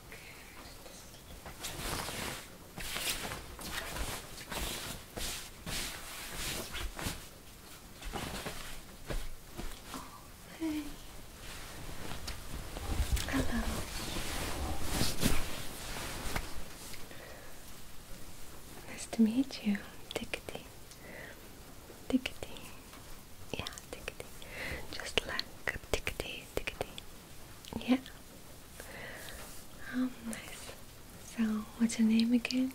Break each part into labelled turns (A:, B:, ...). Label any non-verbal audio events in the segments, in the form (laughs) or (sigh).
A: Okay. Hello. Nice to meet you. Tickety. Tickety. Yeah, tickety. Just like a tickety tickety. Yeah. Oh, nice. So, what's your name again?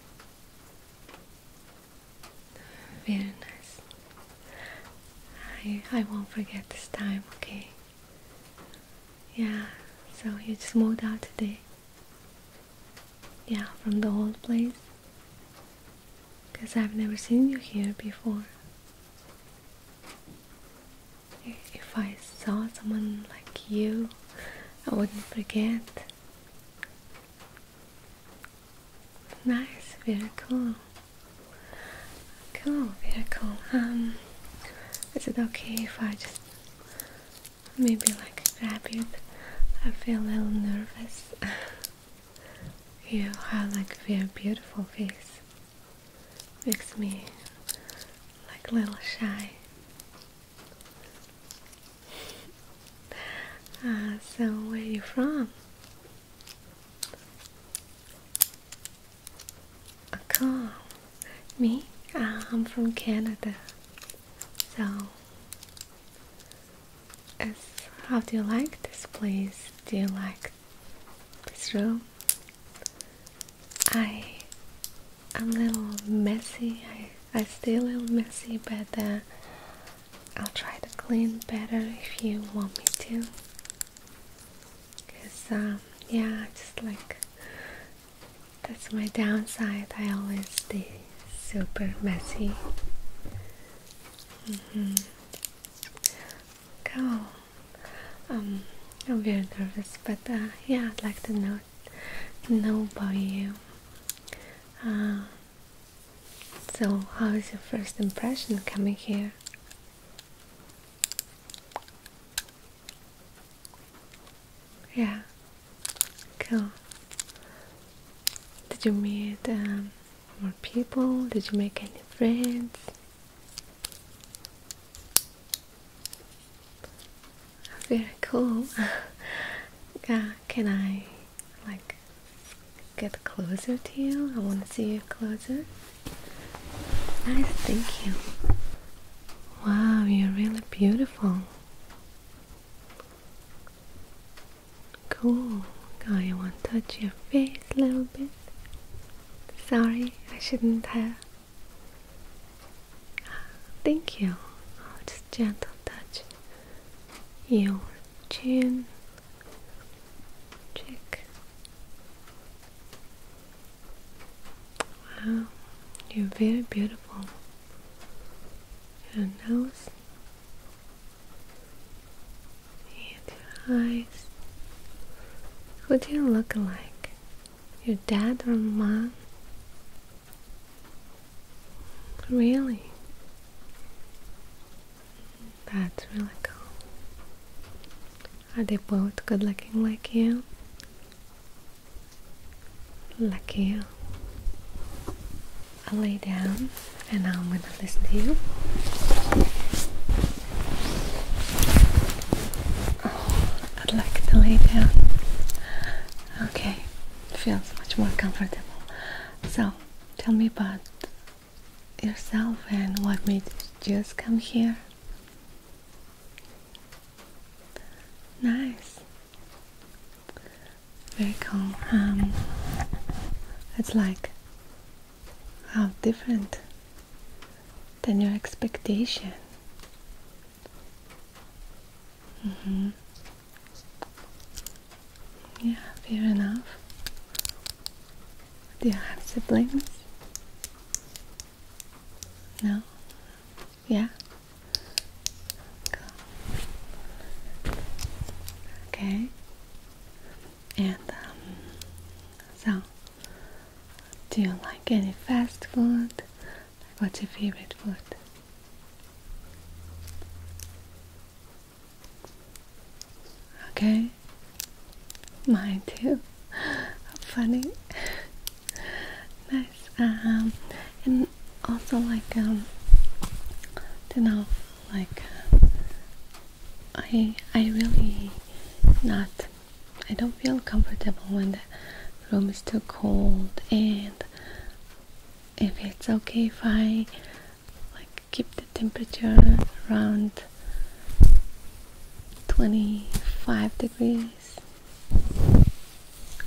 A: Very nice. I I won't forget this time, okay? Yeah. So you just moved out today. Yeah, from the old place. Cause I've never seen you here before. If I saw someone like you, I wouldn't forget. Nice, very cool. Cool, very cool. Um, is it okay if I just maybe like grab you? I feel a little nervous. (laughs) you have like very beautiful face. Makes me like a little shy. Uh, so where are you from? Oh, uh, cool. Me? Uh, I'm from Canada. So, how do you like this place? Do you like this room. I I'm a little messy. I I stay a little messy, but uh, I'll try to clean better if you want me to. Cause um, yeah, just like that's my downside. I always stay super messy. Go. Mm-hmm. Um, I'm very nervous, but uh, yeah, I'd like to know know about you. Uh, so, how is your first impression coming here? Yeah, cool. Did you meet um, more people? Did you make any friends? Very cool. (laughs) can I like get closer to you? I want to see you closer. Nice, thank you. Wow, you're really beautiful. Cool. God, I want to touch your face a little bit. Sorry, I shouldn't have. Thank you. Oh, just gentle touch. Your chin. Check. Wow, you're very beautiful. Your nose. And your eyes. Who do you look like? Your dad or mom? Really? That's really cool. Are they both good looking like you? Lucky you. i lay down and I'm gonna listen to you. I'd like to lay down. Okay, feels much more comfortable. So, tell me about yourself and what made you just come here. Nice. Very calm. Um, it's like how different than your expectation. Mm-hmm. Yeah, fair enough. Do you have siblings? No? Yeah? Okay. And um, so do you like any fast food? what's your favorite food? Okay, mine too. (laughs) Funny, (laughs) nice. Um, and also like um, you know, like uh, I I really not I don't feel comfortable when the room is too cold and if it's okay if I like keep the temperature around 25 degrees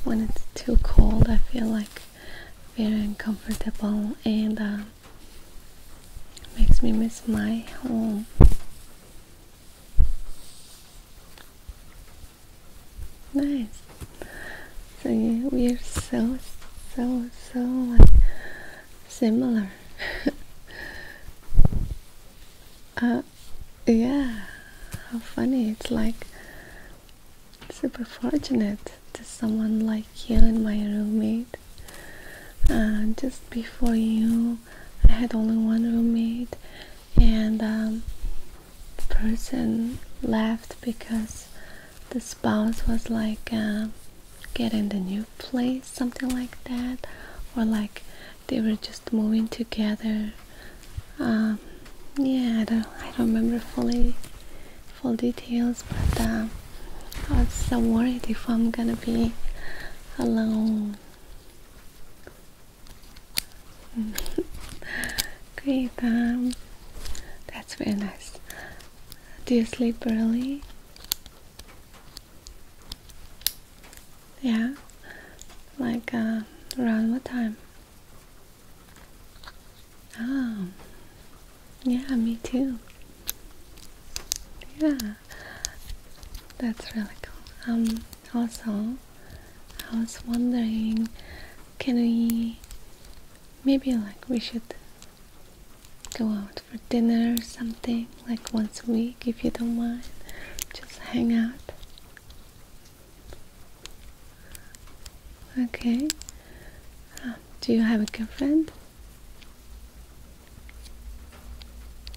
A: when it's too cold I feel like very uncomfortable and uh, makes me miss my home Nice. So yeah, we are so so so similar. (laughs) Uh, yeah. How funny! It's like super fortunate to someone like you and my roommate. Uh, just before you I had only one roommate, and um, the person left because the spouse was like um, getting the new place, something like that, or like they were just moving together. Um, yeah, I don't, I don't remember fully full details, but I was so worried if I'm gonna be alone Great, (laughs) um, that's very nice. Do you sleep early? Yeah, like uh, around what time? Oh, yeah, me too. Yeah, that's really cool. Um, also, I was wondering, can we maybe like we should go out for dinner or something like once a week if you don't mind, just hang out. Okay. Um, do you have a girlfriend?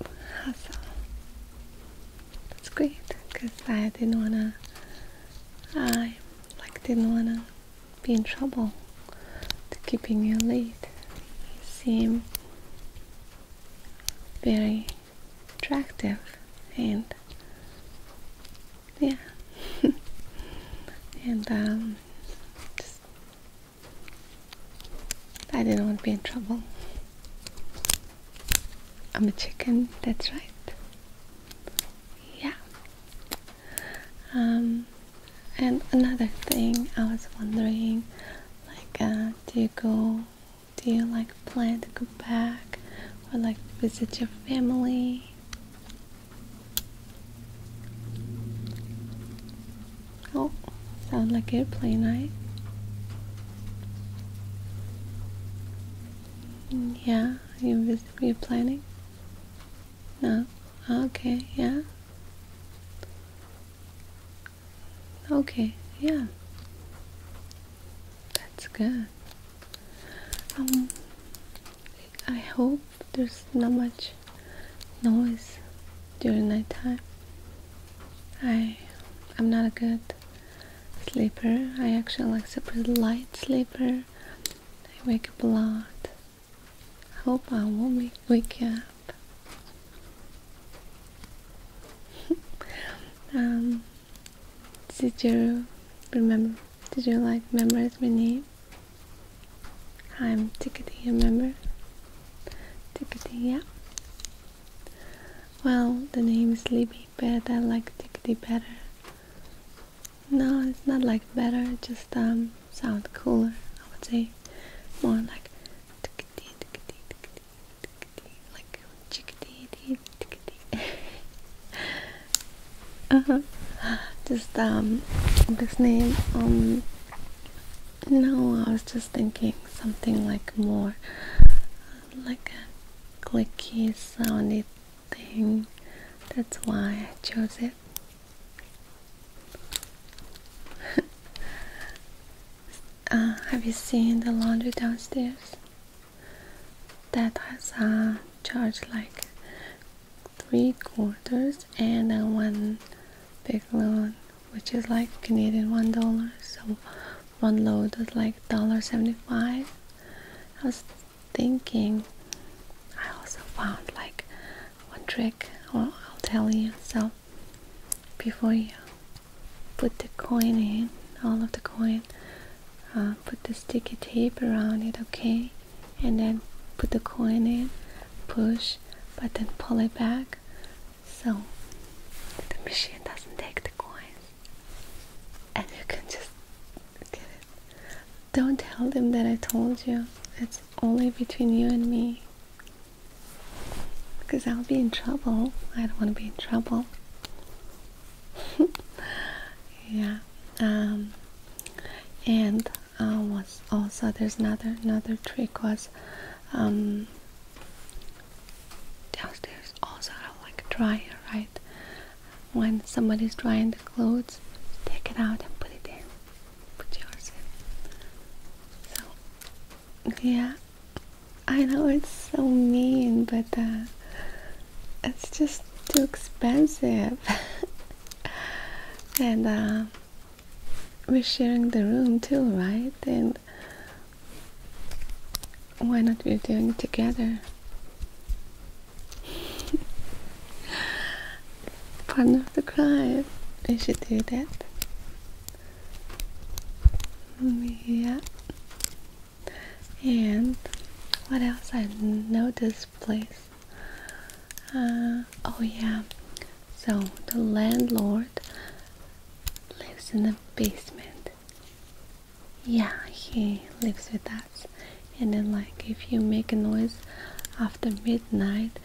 A: Awesome. That's great because I didn't wanna I like didn't wanna be in trouble to keeping you late. You seem very attractive and yeah (laughs) and um I didn't want to be in trouble I'm a chicken, that's right. Yeah. Um, and another thing I was wondering, like, uh, do you go, do you like plan to go back or like visit your family? Oh, Sound like airplay night? Yeah, you you're planning? No? Okay, yeah. Okay, yeah. That's good. Um, I hope there's not much noise during night time. I, I'm not a good sleeper. I actually like a pretty light sleeper. I wake up a lot. I hope I won't wake, wake up. (laughs) um, did you remember? Did you like remember my name? I'm Tickety, remember? Tickety, yeah. Well, the name is Sleepy Pet, I like Tickety better. No, it's not like better, it just um, sound cooler, I would say. More like tickety, tickety, tickety, tickety, like chickadee, tickety. uh -huh. Just um, this name, um, no, I was just thinking something like more like a clicky sounded thing. That's why I chose it. (laughs) Uh, have you seen the laundry downstairs? That has a charge like three quarters and then one big loan, which is like Canadian one dollar. So one load was like $1.75 I was thinking I also found like one trick or well, I'll tell you so before you put the coin in all of the coin uh, put the sticky tape around it okay and then put the coin in push but then pull it back so the machine doesn't take the coins and you can just get it. Don't tell them that I told you. It's only between you and me. Because I'll be in trouble. I don't want to be in trouble. (laughs) yeah. Um, and uh, was also there's another another trick was um, downstairs also have like a dryer, right? When somebody's drying the clothes, take it out and put it in. Put yours in. So, yeah, I know it's so mean, but uh, it's just too expensive. (laughs) and uh, we're sharing the room too, right? And why not we do it together? (laughs) Partner of the crime. We should do that. Yeah. And what else I know this place? Uh, oh yeah. So the landlord lives in the basement. Yeah, he lives with us. And then, like, if you make a noise after midnight,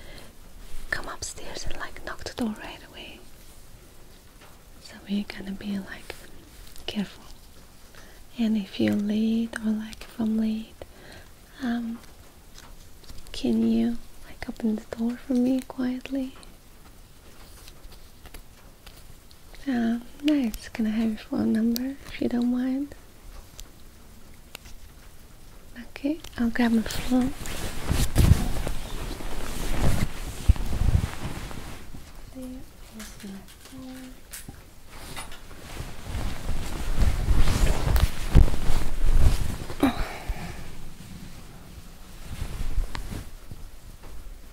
A: come upstairs and like knock the door right away. So we're gonna be like careful. And if you're late or like if I'm late, um, can you like open the door for me quietly? Ah, nice. Can I have your phone number if you don't mind? Okay, I'll grab my phone.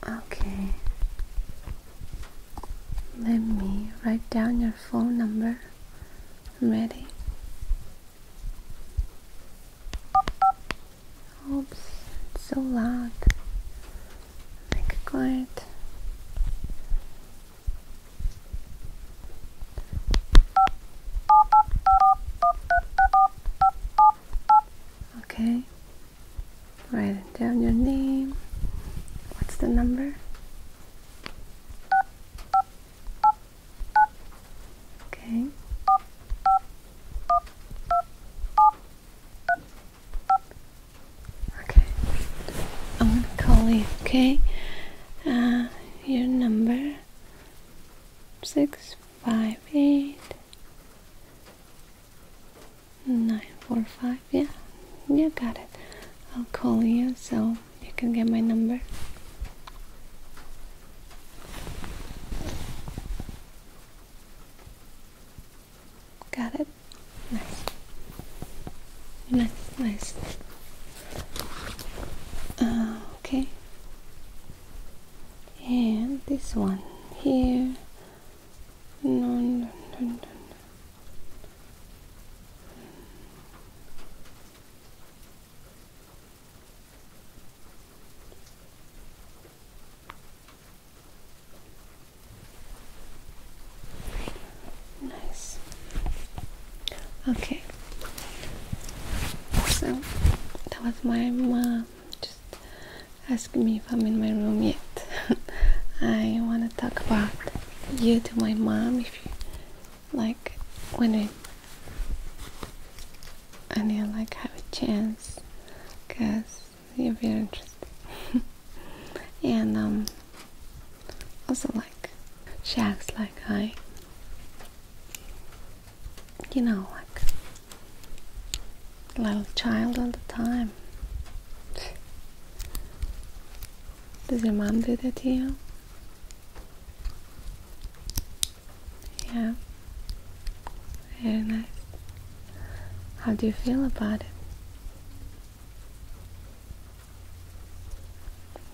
A: Okay. Let me write down your phone number. ready. Oops, it's so loud. Make it quiet. Okay, Write down your name. What's the number? Okay. Okay. I'm gonna call you, okay? Uh, your number six five eight nine four five yeah you got it I'll call you so you can get my number got it nice nice nice uh, okay and this one here no, no, no, no. Nice. Okay. So that was my uh, Ask me if I'm in my room yet. (laughs) I want to talk about you to my mom if you like when I and you like have a chance because you're very interesting (laughs) and um also like she acts like I you know like little child all the time. Does your mom do that to you? Yeah. Very nice. How do you feel about it?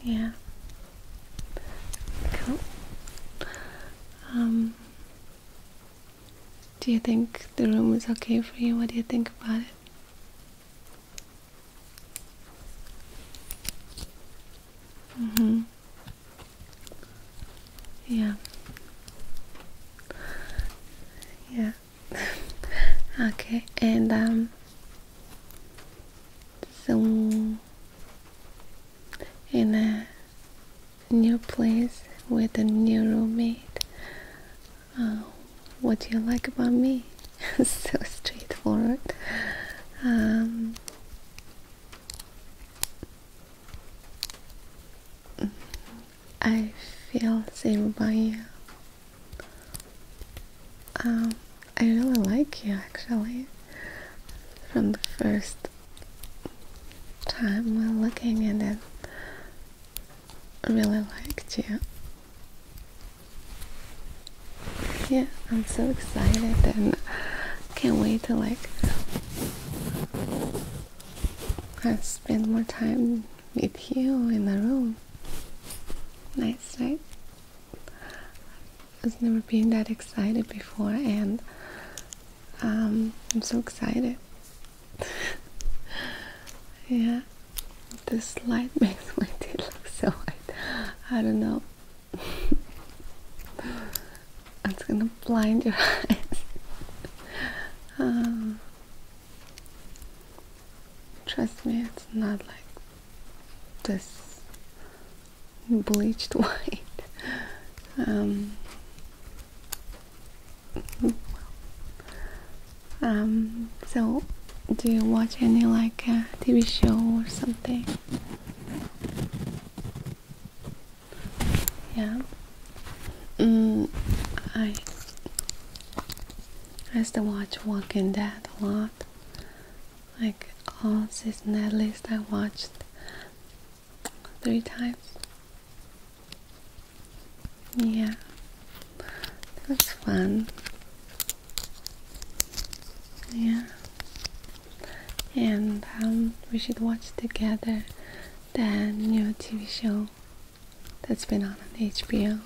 A: Yeah. Cool. Um, do you think the room is okay for you? What do you think about it? Mm-hmm. Yeah. Yeah. (laughs) okay, and um so in new place with a new roommate. Uh, what do you like about me? (laughs) so straightforward. Um, I feel same about you. Um, I really like you actually. From the first time we're looking at it, I really liked you. Yeah, I'm so excited and can't wait to like I spend more time with you in the room. Nice, night. I've never been that excited before and um, I'm so excited. yeah, this light (laughs) makes my teeth look so white. I don't know. (laughs) it's gonna blind your (laughs) eyes. Um, trust me, it's not like this bleached white. Um, um, so do you watch any like uh, TV show or something? Yeah. Mm, I I used to watch Walking Dead a lot. Like all season at least I watched three times. Yeah, that's fun. Yeah, and um, we should watch together the new TV show that's been on on HBO.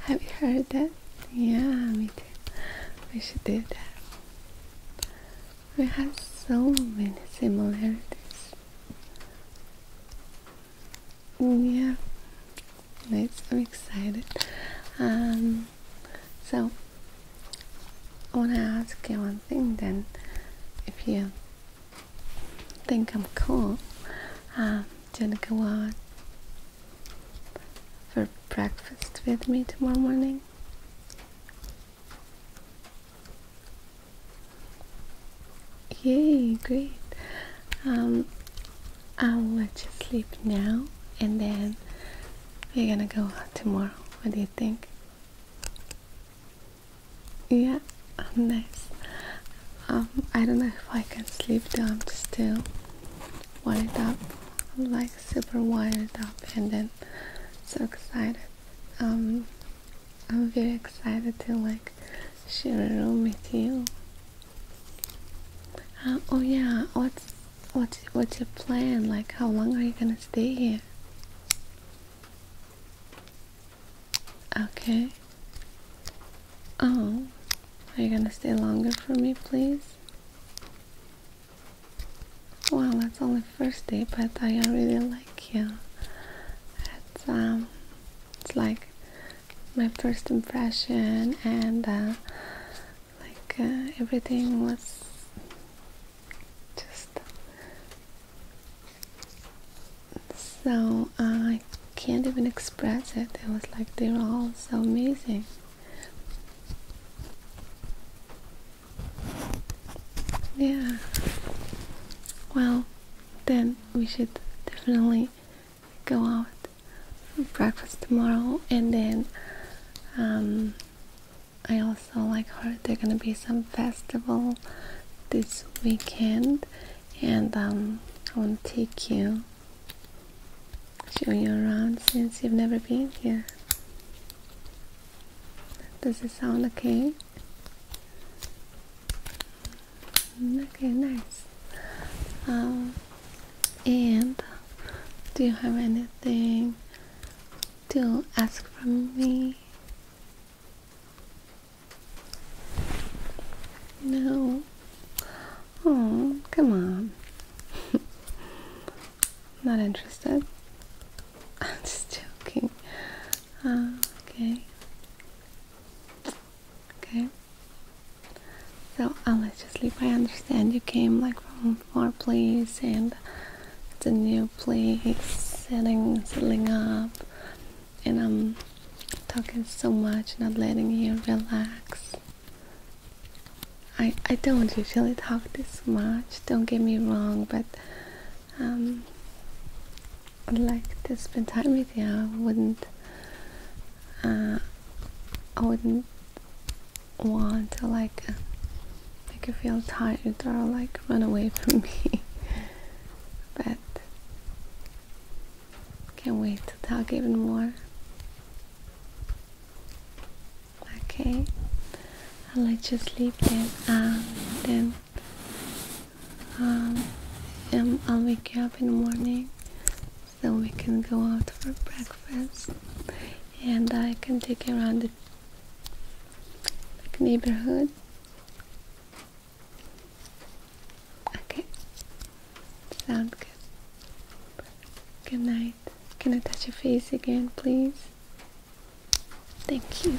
A: Have you heard that? Yeah, me too. We should do that. We have so many similarities. Yeah, nice. I'm excited. Um, so I wanna ask you one thing. Then, if you think I'm cool, um, do you wanna go out for breakfast with me tomorrow morning? Yay, great. Um, I'll let you sleep now and then we're gonna go out tomorrow. What do you think? Yeah, um, nice. Um, I don't know if I can sleep though, I'm still wired up. I'm like super wired up and then so excited. I'm very excited to like share a room with you. Uh, oh yeah, what's what's what's your plan? Like, how long are you gonna stay here? Okay. Oh, are you gonna stay longer for me, please? Well, that's only first day, but I already Thank you. It's um, it's like my first impression, and uh, like uh, everything was just so uh, I can't even express it. It was like they are all so amazing. Yeah. Well, then we should definitely go out for breakfast tomorrow and then um, I also like heard there gonna be some festival this weekend and um, I want to take you show you around since you've never been here does it sound okay Okay, nice. Um, and do you have anything to ask from me? No. Oh, come on. (laughs) Not interested. (laughs) I'm just joking. Uh, okay. Okay. So I'll uh, let you sleep. I understand you came like from far place and it's a new place, setting setting up and I'm talking so much, not letting you relax. I I don't usually talk this much, don't get me wrong, but um, would like to spend time with you. I wouldn't. Uh, I wouldn't want to like uh, make you feel tired or like run away from me. (laughs) but can't wait to talk even more. Okay, I'll let you sleep then. Um, then um, I'll wake you up in the morning so we can go out for breakfast and I can take you around the neighborhood. Okay, sound good. Good night. Can I touch your face again, please? Thank you.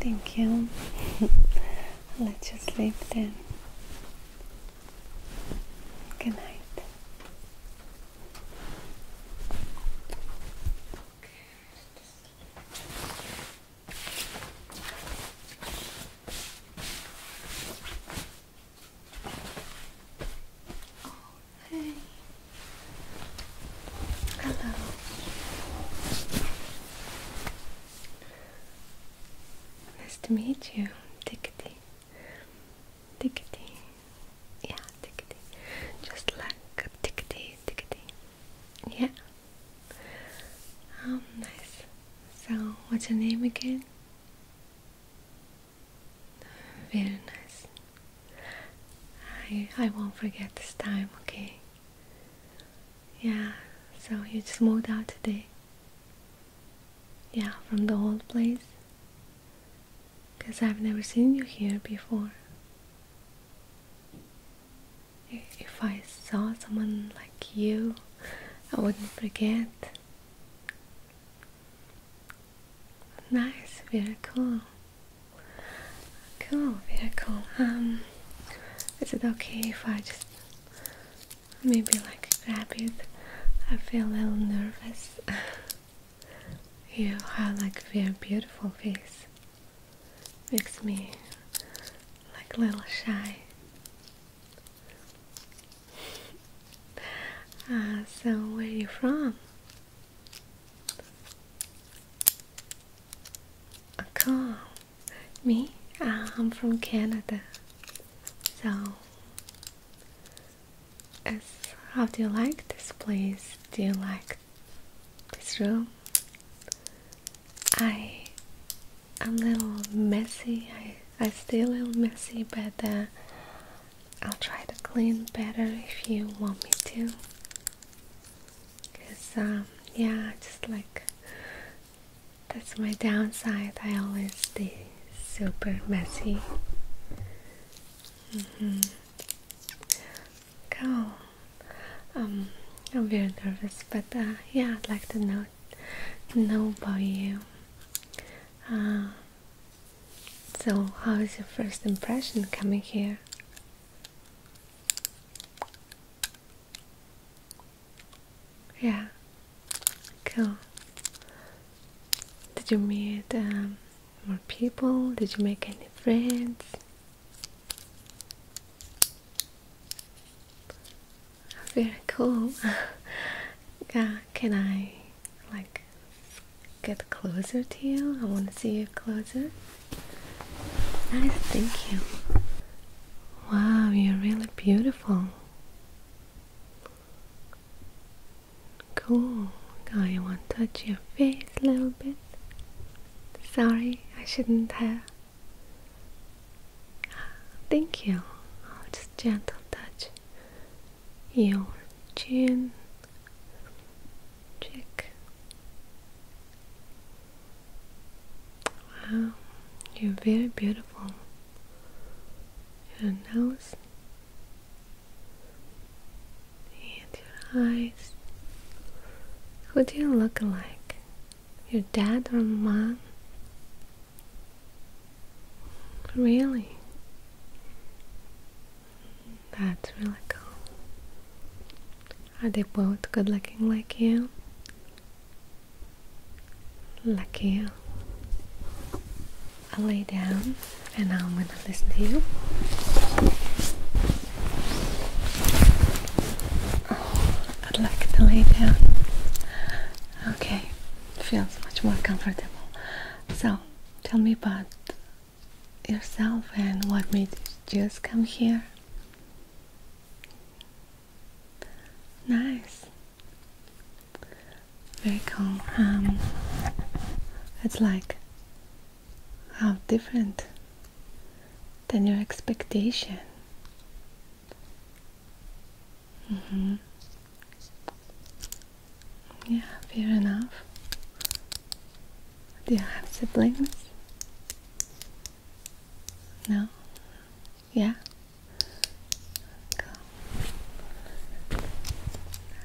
A: Thank you. let you sleep then. Good night. Okay. Hello. Nice to meet you, Tickety. Tickety. Yeah, Tickety. Just like Tickety, Tickety. Yeah. Um, nice. So, what's your name again? Very nice. I I won't forget this time, okay? Yeah, so you just moved out today. Yeah, from the old place. Because I've never seen you here before. If I saw someone like you, I wouldn't forget. Nice, very cool. Cool, very cool. Um, is it okay if I just maybe like grab it? I feel a little nervous. (laughs) you have like a very beautiful face. Makes me like a little shy. (laughs) Uh, so where are you from? Cool. Me? I'm from Canada. So, how do you like this place? Do you like this room? I am a little messy. I I stay a little messy, but uh, I'll try to clean better if you want me to. Because, um, yeah, just like that's my downside. I always stay super messy. Cool. Mm-hmm. Um, I'm very nervous, but uh, yeah, I'd like to know know about you. Uh, so, how is your first impression coming here? Yeah, cool. Did you meet um, more people? Did you make any friends? Very cool. (laughs) yeah, can I like get closer to you? I want to see you closer. Nice, thank you. Wow, you're really beautiful. Cool. Now you want touch your face a little bit. Sorry, I shouldn't have. Thank you. just gentle touch. Your chin, Chick, Wow, you're very beautiful. Your nose and your eyes. Who do you look like? Your dad or mom? Really? That's really cool. Are they both good looking like you? Lucky you. i lay down and now I'm gonna listen to you. Oh, I'd like to lay down. Okay, feels much more comfortable. So, tell me about yourself and what made you just come here. Nice. Very cool. Um, it's like how different than your expectation. Mm -hmm. Yeah, fair enough. Do you have siblings? No? Yeah?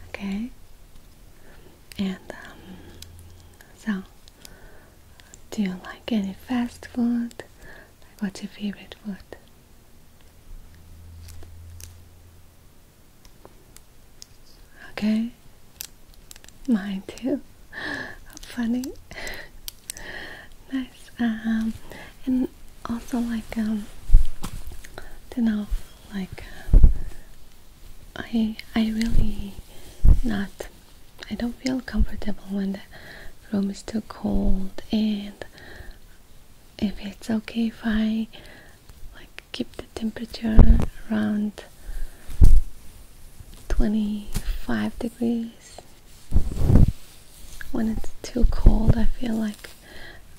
A: Okay. And, um, so, do you like any fast food? Like, what's your favorite food? Okay, Mine too. funny. nice. Um, and also like um, you know, like I I really not. I don't feel comfortable when the room is too cold and if it's okay if I like keep the temperature around 25 degrees. When it's too cold, I feel like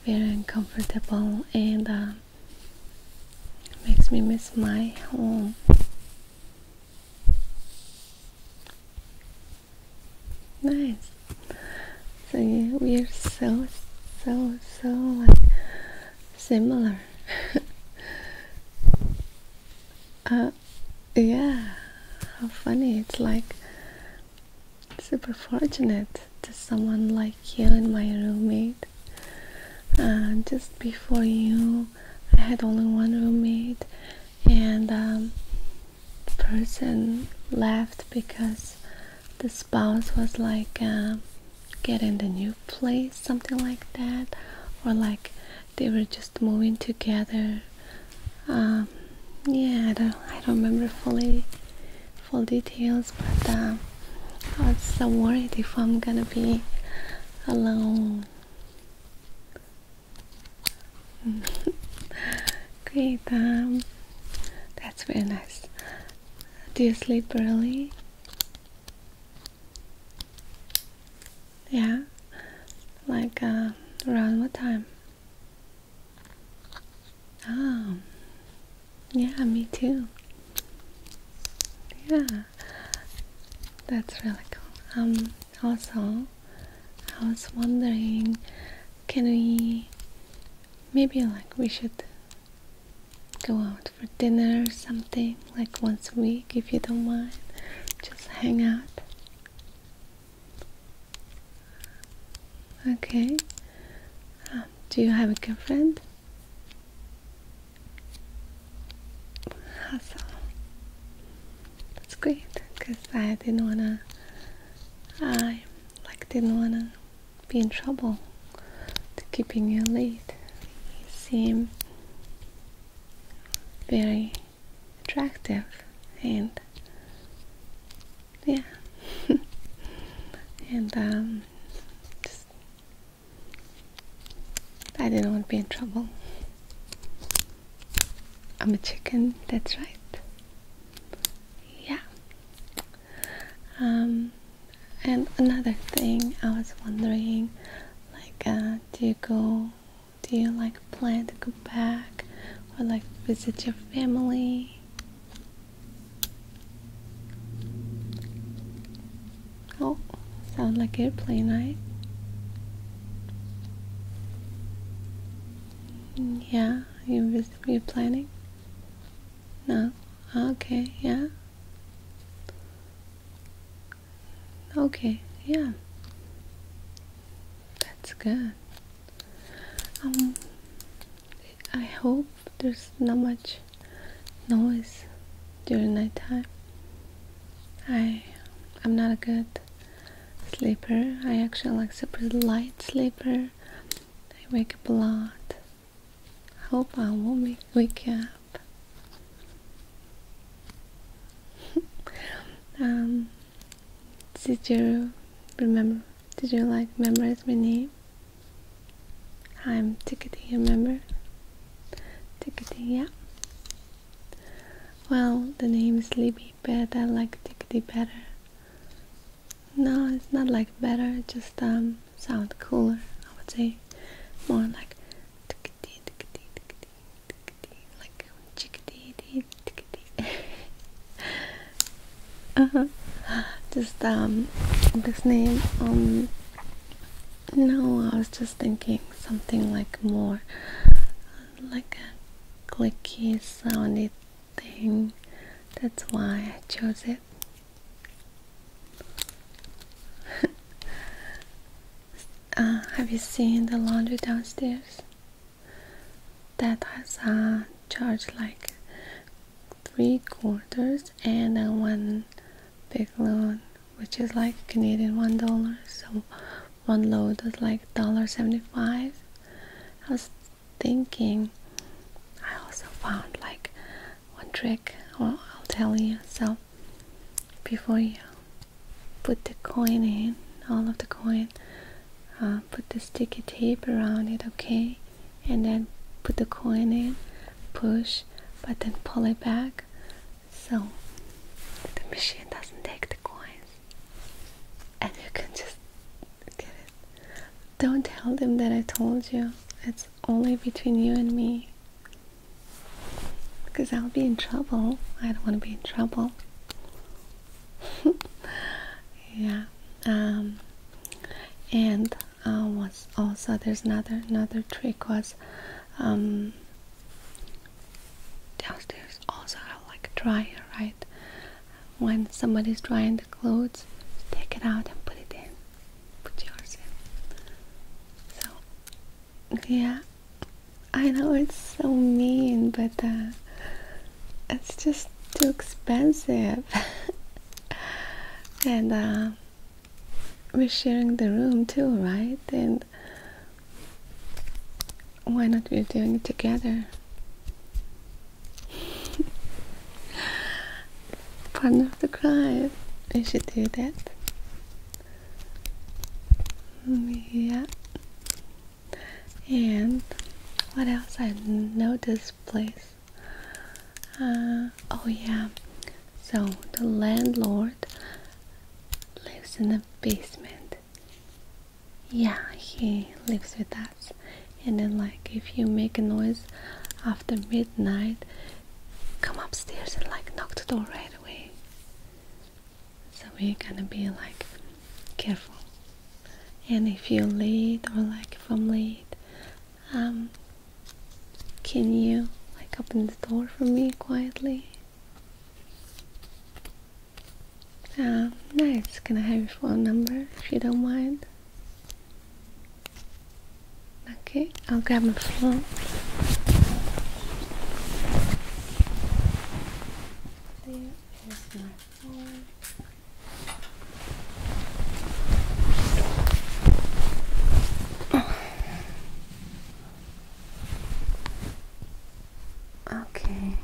A: very uncomfortable and um, makes me miss my home. Nice. So yeah, we are so, so, so like similar. (laughs) Uh, yeah, how funny. It's like super fortunate to someone like you and my roommate. Uh, just before you, I had only one roommate, and um, the person left because the spouse was like, uh, get in the new place, something like that, or like they were just moving together. Um, yeah, I don't, remember fully full details, but um, I was so worried if I'm gonna be alone. (laughs) Great, um, that's very nice. Do you sleep early? Yeah, like uh, around what time? Oh, yeah, me too. Yeah, that's really cool. Um, also, I was wondering, can we maybe like we should go out for dinner or something? like once a week, if you don't mind. Just hang out. Okay. Um, do you have a girlfriend? Awesome. That's great, because I didn't wanna. I like didn't wanna be in trouble to keeping you late. You seem very attractive and yeah (laughs) and um just I didn't want to be in trouble. I'm a chicken, that's right. Yeah. Um and another thing I was wondering like uh do you go do you like plan to go back or like visit your family? Oh, sound like a airplane, right? Yeah, you you planning? No. Okay, yeah. Okay, yeah. That's good. Um I hope there's not much noise during nighttime. I I'm not a good sleeper. I actually like super light sleeper. I wake up a lot. I hope I won't wake up. (laughs) Um, did you remember? Did you like memorize my name? I'm Tickety, remember? Tickety, yeah. Well, the name is Libby, but I like Tickety better. No, it's not like better, just um, sound cooler, I would say. More like Tickety, Tickety, Tickety tickety, like a chickadee, dee, tickety. uh, just um, this name. Um, no, I was just thinking something like more, like a clicky soundy thing. That's why I chose it. (laughs) Uh, have you seen the laundry downstairs? That has a charge like three quarters and a one big load, which is like Canadian one dollar. So one load is like dollar seventy-five. I was thinking. I also found like one trick. Well, I'll tell you. So before you put the coin in, all of the coin, uh, put the sticky tape around it, okay? And then put the coin in, push, but then pull it back so the machine doesn't take the coins. And you can just get it. Don't tell them that I told you. It's only between you and me because I'll be in trouble. I don't want to be in trouble. (laughs) yeah. Um, and uh, was also there's another another trick was um, downstairs also have like dryer right. When somebody's drying the clothes, take it out and put it in. Put yours in. So yeah, I know it's so mean, but uh, it's just too expensive. (laughs) and uh, we're sharing the room too, right? And why not we're doing it together? (laughs) Pardon of the crime. We should do that. Yeah. And what else I know this place? Uh, oh yeah. So the landlord lives in the basement. Yeah, he lives with us. And then like if you make a noise after midnight, come upstairs and like knock the door right away so we're gonna be like careful and if you're late or like if I'm late um can you like open the door for me quietly nice can I have your phone number if you don't mind okay I'll grab my phone there is my phone. Okay.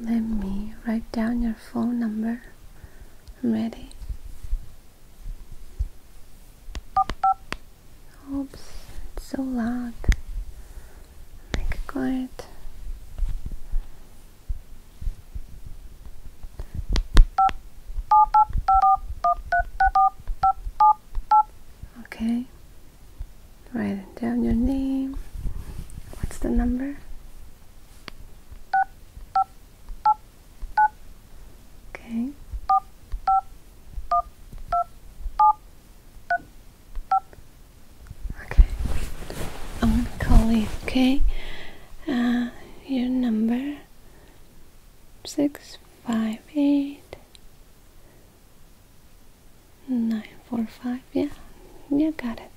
A: Let me write down your phone number. ready. Oops, it's so loud. Make it quiet. Okay. Write down your name. What's the number? Okay. Okay, I'm gonna call you, okay? Uh, your number six five eight nine four five. Yeah, you got it.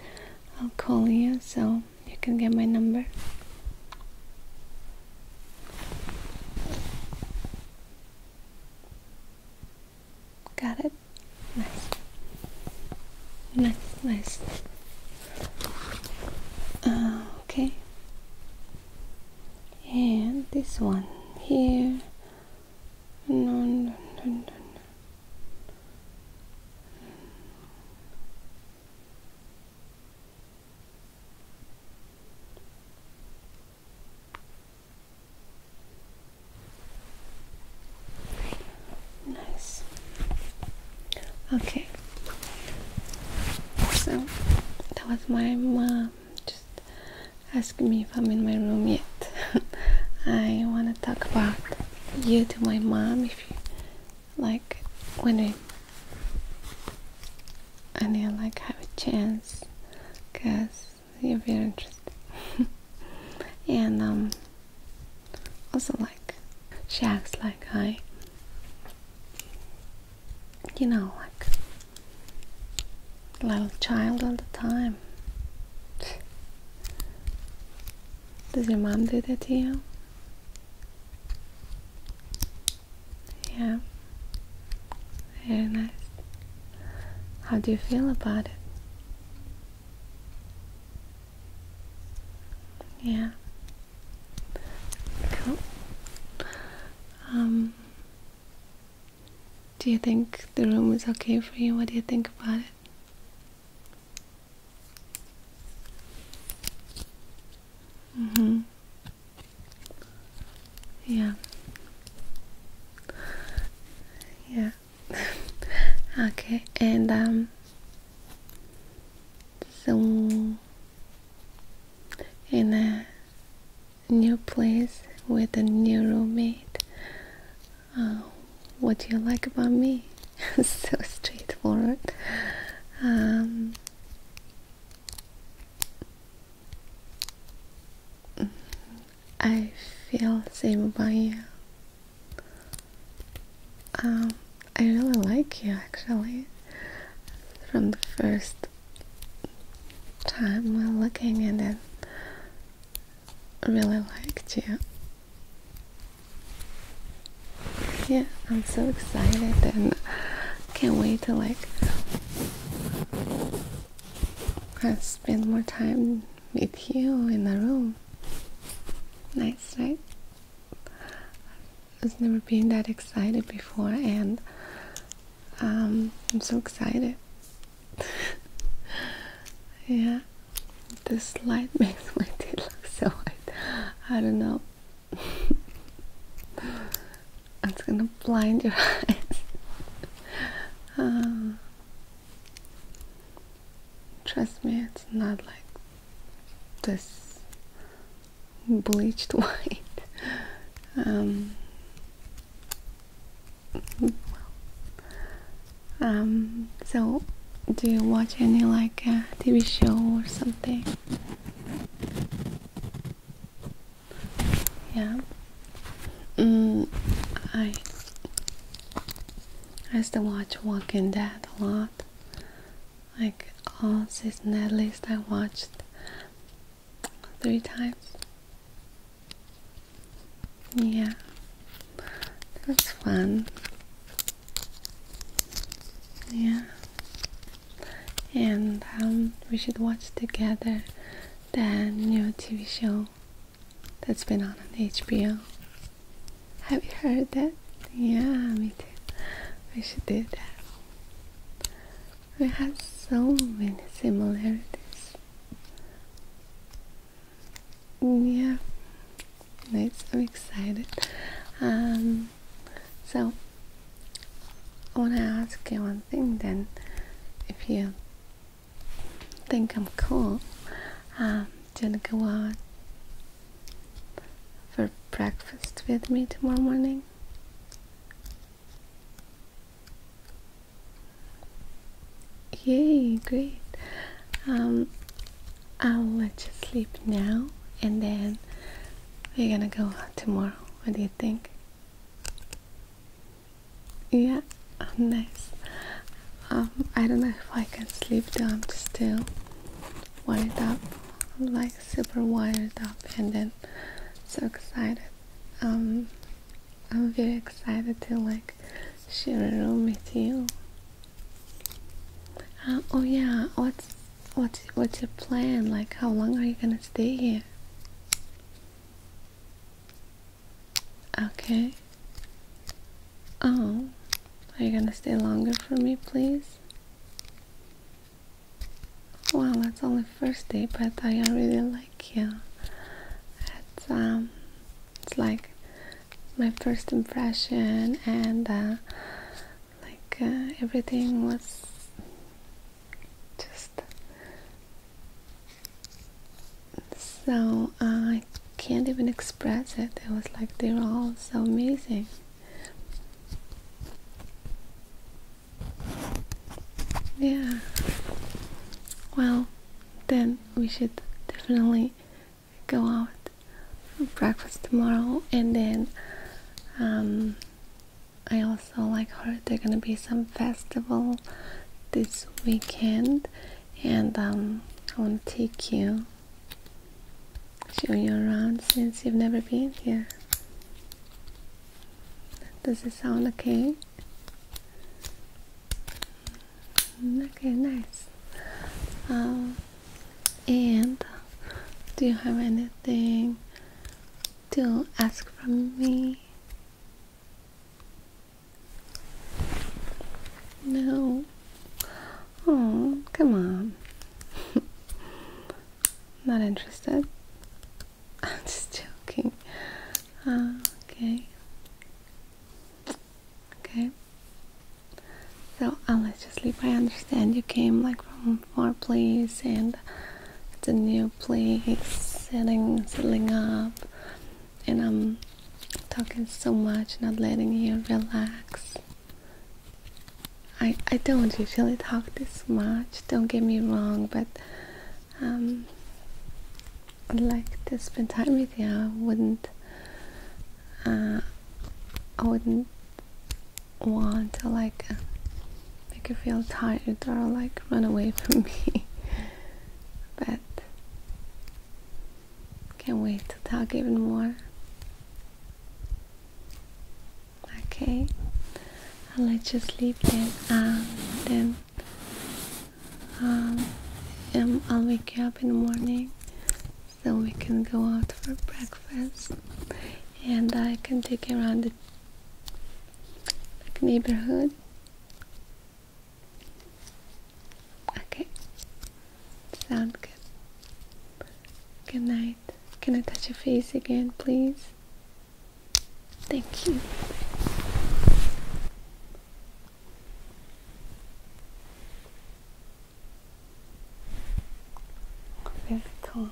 A: I'll call you so you can get my number. Got it? Nice. Nice, nice. okay. And this one here. Nice. Okay. So that was my mom just asking me if I'm in my room yet. (laughs) I want to talk about you to my mom if you like when I need like have a chance because if you're interested. (laughs) and um, also like she acts like I, you know, like little child all the time. Does your mom do that to you? Yeah. Very nice. How do you feel about it? Yeah. Cool. Um, do you think the room is okay for you? What do you think about it? Mm-hmm. Yeah. Yeah. (laughs) okay, and um so in a new place with a new roommate. Uh, what do you like about me? (laughs) so straightforward. Um, I feel saved by you. Um, I really like you actually. From the first time we're looking at it, I really liked you. Yeah, I'm so excited and can't wait to like I spend more time with you in the room. Nice, night. I've never been that excited before, and um, I'm so excited. (laughs) yeah, this light (laughs) makes my teeth look so white. I don't know. (laughs) it's gonna blind your eyes. Ah. Trust me, it's not like this bleached (laughs) white. Um, um, so do you watch any like TV show or something? Yeah. Mm, I used to watch Walking Dead a lot. Like all season at least I watched three times. Yeah. That's fun. Yeah. And um, we should watch together the new TV show that's been on on HBO. Have you heard that? Yeah, me too. We should do that. We have so many similarities. Yeah, nice. I'm excited. Um, so I want to ask you one thing then. If you think I'm cool. Um, do you wanna go out for breakfast with me tomorrow morning? Yay, great. Um, I'll let you sleep now and then we're gonna go out tomorrow. What do you think? Yeah, oh, nice. Um, I don't know if I can sleep though, I'm still wired up. like super wired up and then so excited. Um, I'm very excited to like share a room with you. Uh, oh yeah, what's what's what's your plan? Like, how long are you gonna stay here? Okay. Oh, are you gonna stay longer for me, please? Well, that's only first day, but I really like you. It's um, it's like my first impression, and uh, like uh, everything was just so I can't even express it. It was like they are all so amazing. Yeah. Well, then we should definitely go out for breakfast tomorrow, and then um, I also like heard there's gonna be some festival this weekend and um, I want to take you, show you around since you've never been here. Does it sound okay? Mm, okay, nice. Um, and do you have anything to ask from me? No. Oh, come on. (laughs) Not interested. (laughs) I'm just joking. okay. Okay. So I'll let you sleep. I understand you came like from far place and it's a new place, setting, settling up and I'm talking so much, not letting you relax. I, I don't usually talk this much, don't get me wrong, but um, I'd like to spend time with you. I wouldn't, uh, I wouldn't want to like uh, make you feel tired or like run away from me. (laughs) but can't wait to talk even more. Okay, I'll let you sleep then. Um, then um, um, I'll wake you up in the morning so we can go out for breakfast, and I can take you around the neighborhood Okay. Sound good. Good night. Can I touch your face again, please? Thank you. Very calm.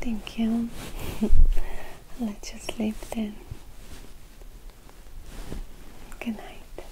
A: Thank you. Let you sleep then. Good night.